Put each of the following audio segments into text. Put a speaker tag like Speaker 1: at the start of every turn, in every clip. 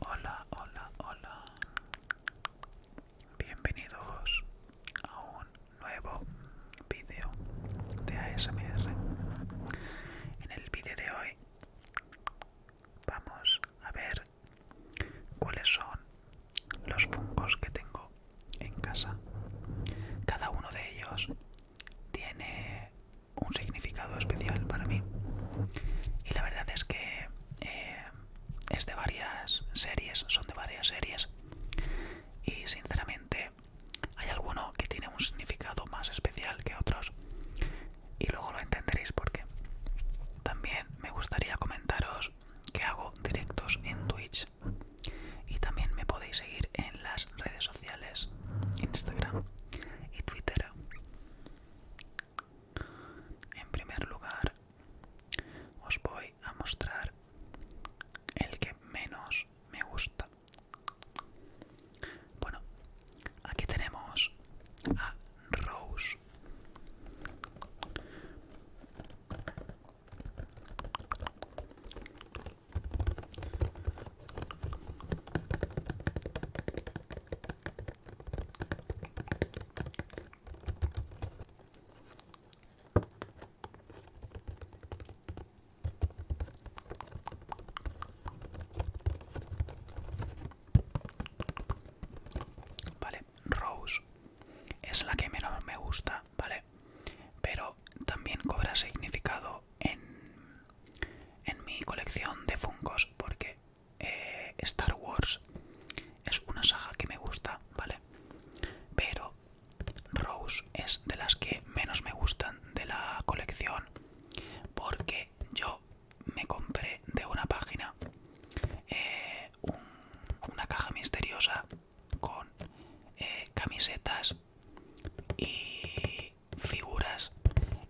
Speaker 1: Hola, hola, hola. Bienvenidos a un nuevo vídeo de ASMR. En el vídeo de hoy vamos a ver cuáles son los fungos que tengo en casa. Cada uno de ellos tiene un significado especial para mí. Y la verdad es que eh, es de varias series, son de varias series. Y sinceramente hay alguno que tiene un significado más especial que otros. Y luego lo entenderéis porque también me gustaría comentaros que hago directos en Twitch. Y también me podéis seguir en las redes sociales, Instagram y Twitter en primer lugar, os voy a mostrar el que menos me gusta. Bueno, aquí tenemos a Rose. Vale, Rose es la que menos me gusta, ¿vale? Pero también cobra significado en, mi colección de fungos porque eh, Star Wars es una saga que me gusta, ¿vale? Pero Rose es de las que menos me gustan de la colección porque yo me compré de una página eh, una caja misteriosa con eh, camisetas y figuras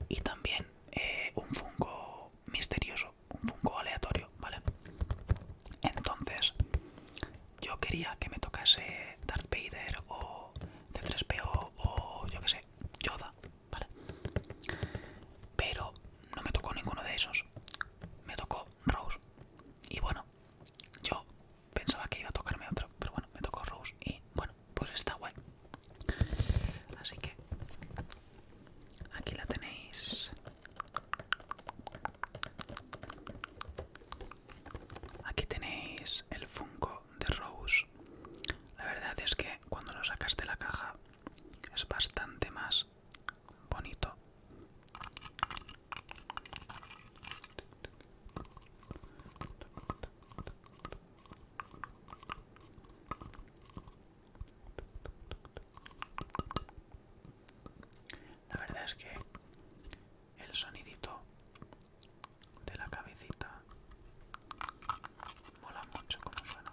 Speaker 1: y también eh, un fungo misterioso, un fungo aleatorio, ¿vale? Entonces, yo quería que me tocase Darth Vader o C3PO o yo que sé, Yoda, ¿vale? Pero no me tocó ninguno de esos, me tocó Rose. Y bueno, yo pensaba que iba a tocarme otro, pero bueno, me tocó Rose y bueno, pues está guay. Así que aquí la tenéis. Aquí tenéis el Funko de Rose. La verdad es que cuando lo sacas de la caja es bastante más bonito. La verdad es que el sonidito de la cabecita mola mucho como suena.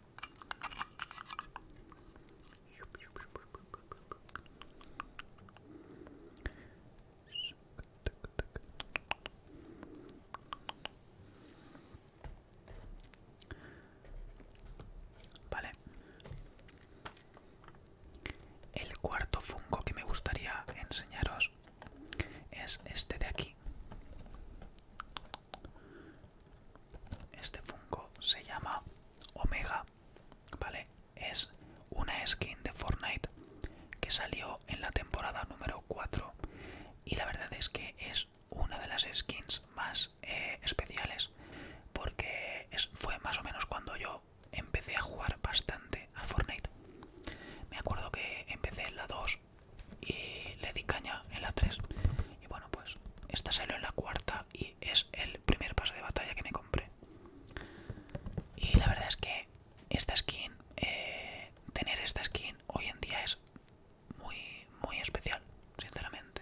Speaker 1: Vale. El cuarto fungo que me gustaría enseñaros es este de aquí. Este Funko se llama Omega, ¿vale? Es una skin de Fortnite que salió en la temporada número 4 y la verdad es que es una de las skins más eh, especiales porque fue más o menos cuando yo empecé a jugar bastante a Fortnite. Me acuerdo que empecé en la 2 y le di caña en la 3 y bueno, pues esta salió en la cuarta y es el primer paso de batalla que me compré. Y la verdad es que esta skin, eh, tener esta skin hoy en día es muy, muy especial, sinceramente.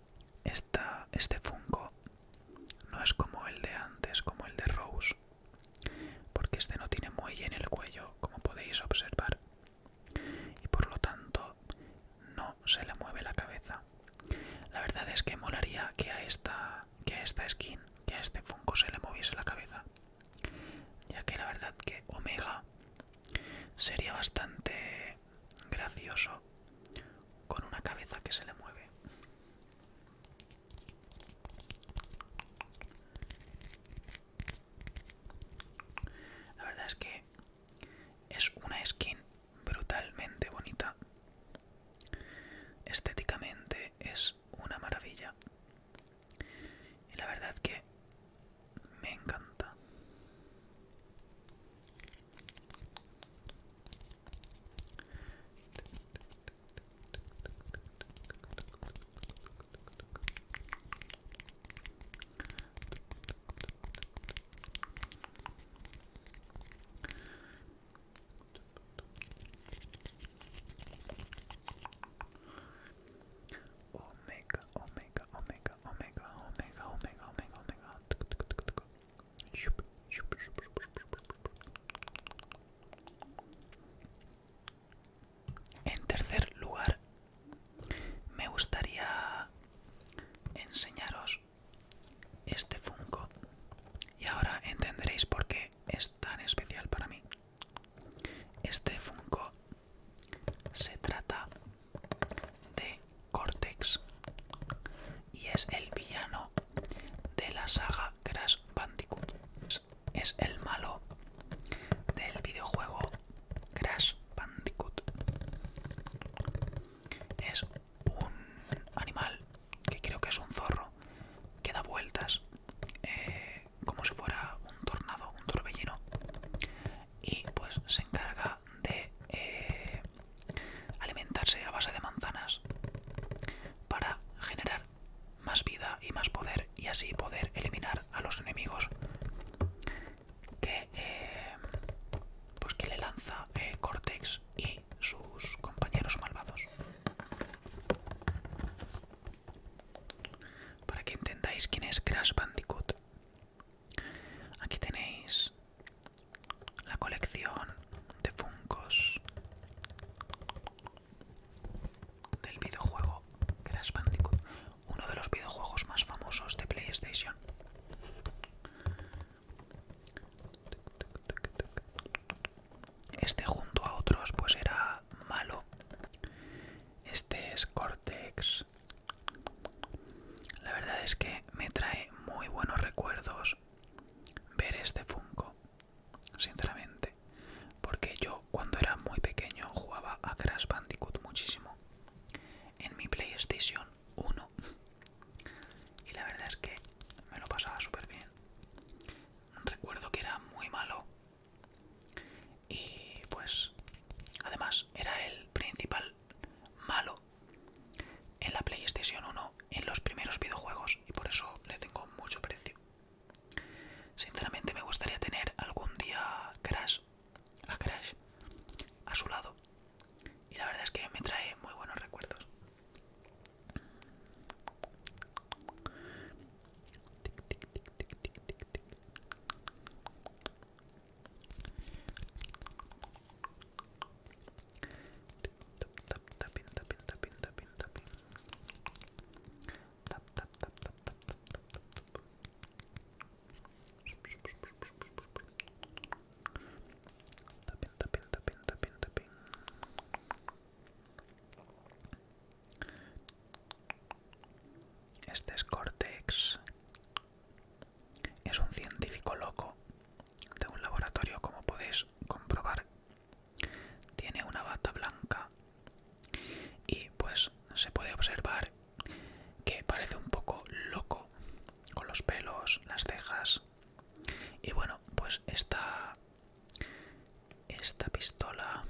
Speaker 1: Esta, este Funko no es como el de antes, como el de Rose, porque este no tiene muelle en el cuello, como podéis observar, y por lo tanto no se le mueve la cabeza. La verdad es que molaría que a esta, que a esta skin, que a este Funko se le moviese la cabeza, ya que la verdad que Omega sería bastante gracioso con una cabeza que se le mueve. La verdad es que es una skin brutalmente bonita. Estéticamente es una maravilla. Y la verdad que me encanta. Omega, Omega, Omega, Omega, Omega, Omega, Omega, Omega. En tercer lugar, me gustaría enseñaros este Funko y ahora entenderéis por qué es tan especial para mí. Este Funko se trata de Cortex y es el villano de la saga Crash Bandicoot. Es el malo del videojuego Crash Bandicoot. Es un animal que creo que es un zorro que da vueltas eh, como si fuera un tornado, un torbellino y pues se encarga de eh, alimentarse a base de manzanas para generar más vida y más poder y así poder eliminar a los enemigos que eh, pues, le lanza eh, Cortex y sus compañeros malvados para que entendáis quién es Crash Bandicoot Aquí tenéis la colección de funcos del videojuego Crash Bandicoot, uno de los videojuegos más famosos de PlayStation. Este junto a otros pues era malo. Este es Cortex, la verdad es que me trae muy buenos recuerdos ver este Funko, sinceramente, porque yo cuando era muy pequeño jugaba a Crash Bandicoot muchísimo en mi PlayStation 1 y la verdad es que me lo pasaba súper bien. Recuerdo que era muy malo y pues además era el principal malo en la PlayStation 1 en los primeros videojuegos y por eso le tengo mucho precio. Sinceramente me gustaría tener algún día Crash, a Crash a su lado y la verdad es que me trae muy buenos recuerdos tap tap tap tap tap tap tap este es Cortex es un científico loco de un laboratorio, como podéis comprobar. Tiene una bata blanca y pues se puede observar que parece un poco loco con los pelos, las cejas. Y bueno, pues está esta pistola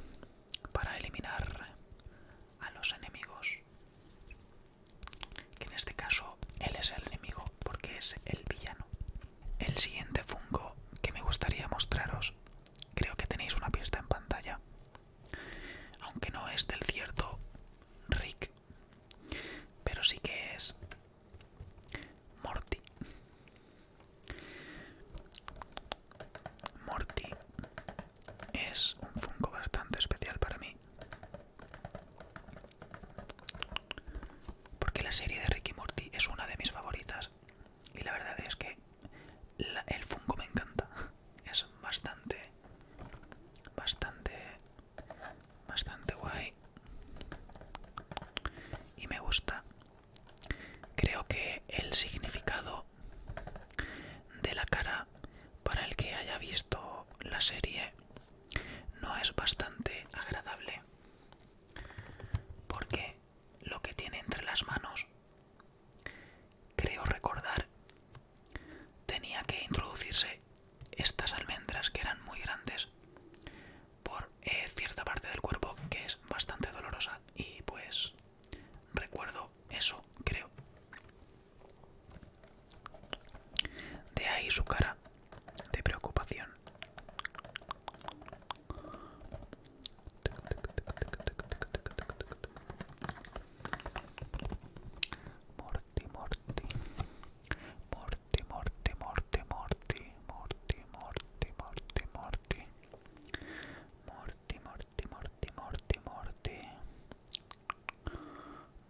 Speaker 1: para eliminar a los enemigos que en este caso él es el enemigo porque es el villano. El siguiente fungo que me gustaría mostraros, creo que tenéis una pista en pantalla, aunque no es del cierto Rick, pero sí que es Morty. Morty es un Funko bastante especial para mí. Porque la serie de Ricky Morty es una de mis favoritas. Y la verdad es que el Funko me encanta. Es bastante, bastante, bastante guay. Y me gusta. Creo que el significado de la cara para el que haya visto la serie no es bastante agradable porque lo que tiene entre las manos creo recordar tenía que introducirse estas almendras que eran muy grandes por eh, cierta parte del cuerpo que es bastante dolorosa y pues Recuerdo eso, creo. De ahí su cara de preocupación. Morti, morti, morti, morti, morti, morti, morti, morti, morti. Morty. Morty, morti, morti, morti, morti, morti,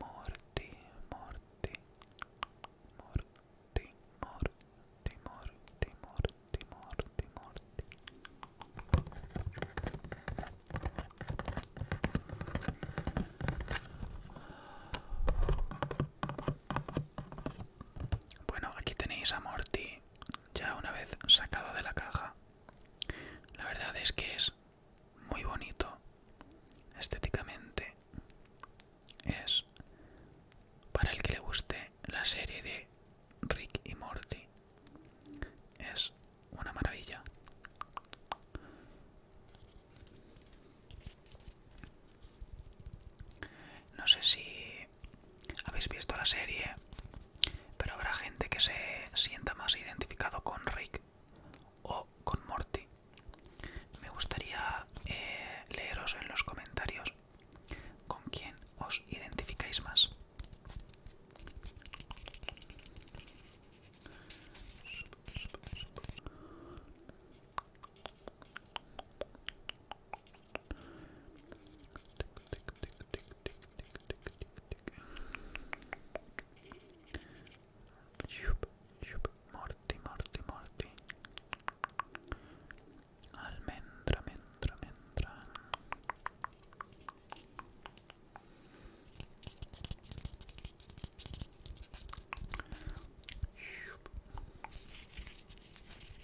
Speaker 1: morti, morti, morti, morti, morti. morti, Bueno, aquí tenéis a Morty ya una vez sacado de la caja la verdad es que es muy bonito estéticamente. Es para el que le guste la serie de Rick y Morty. Es una maravilla. No sé si habéis visto la serie, pero habrá gente que se sienta más identificado con Rick o con Morty. Me gustaría eh, leeros en los comentarios con quién os identificáis más. Shup, shup. Morti, morti, morti. Almendra, mendra, mendra. Shup.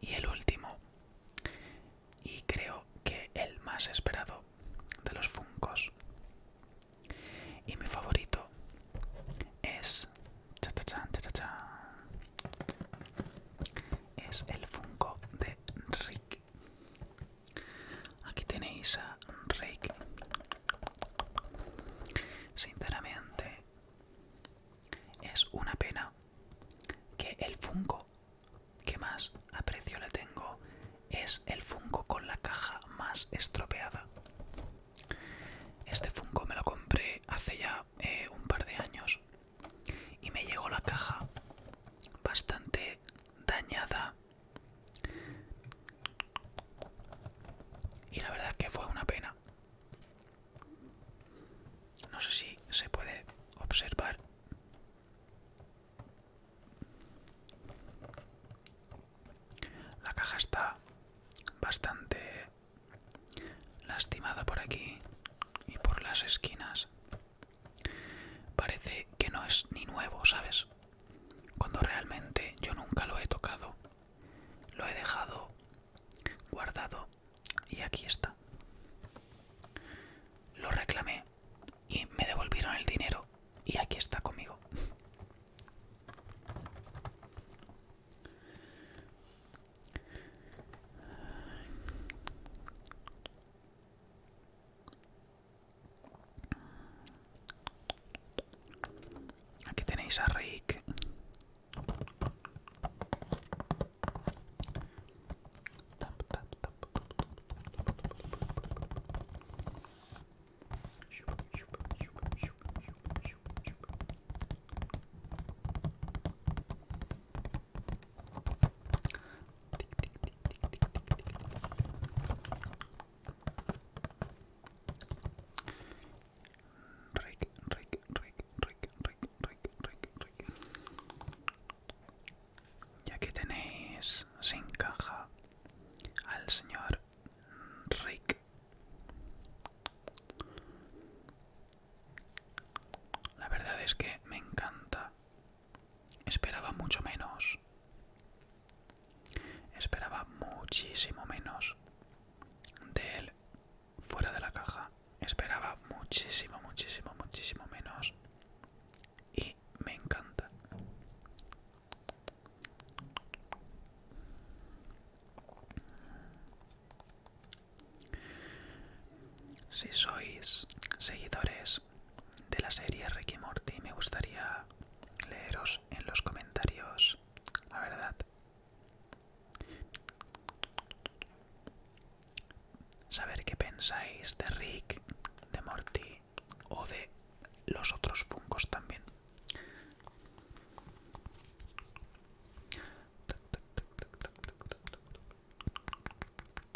Speaker 1: Y el último, y creo que el más esperado de los Funcos. Y mi favorito es. Es el Funko de Rick. Aquí tenéis a Reiki. Sinceramente, es una pena que el Funko que más aprecio le tengo es el Funko con la caja más estropeada. Este Funko me lo compré hace ya eh, un par de años y me llegó la caja bastante dañada y la verdad es que fue una pena. No sé si se puede observar. La caja está bastante lastimada por aquí y por las esquinas. Parece que no es ni nuevo, ¿sabes? cuando realmente yo nunca lo he tocado. Lo he dejado guardado y aquí está. Lo reclamé y me devolvieron el dinero y aquí está conmigo. Aquí tenéis a Rick. Rick, Rick, Rick, Rick, Rick, Rick, Rick, Rick. Y aquí tenéis se encaja al señor Rick. La verdad es que me encanta Esperaba mucho menos. Esperaba muchísimo menos de él fuera de la caja. Esperaba muchísimo, muchísimo, muchísimo menos. Y me encanta. Si sois seguidores de la serie Ricky Morty me gustaría leeros en los comentarios, la verdad. Saber qué pensáis de Rick, de Morty o de los otros fungos también.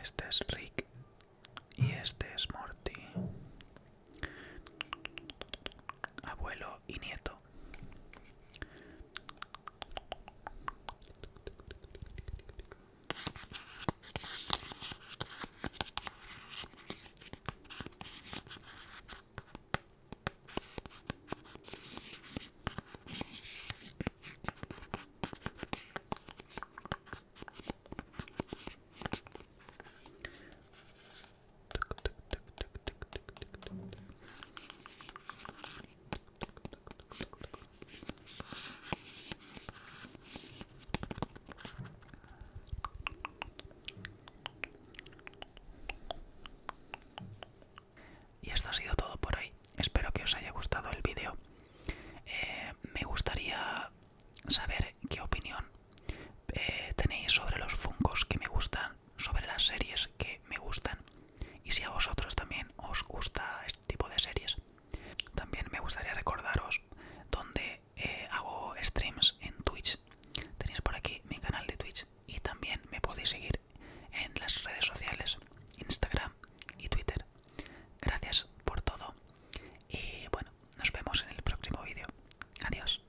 Speaker 1: Este es Rick y este es Morty. Abuelo, y nieto. Y esto ha sido todo por hoy. Espero que os haya gustado el vídeo. Eh, me gustaría saber qué opinión eh, tenéis sobre los funcos que me gustan, sobre las series que me gustan y si a vosotros también os gusta este tipo de series. También me gustaría recordaros donde eh, hago streams en Twitch. Tenéis por aquí mi canal de Twitch y también me podéis seguir en las redes sociales, Instagram y Twitter. Gracias por todo y bueno, nos vemos en el próximo vídeo. Adiós.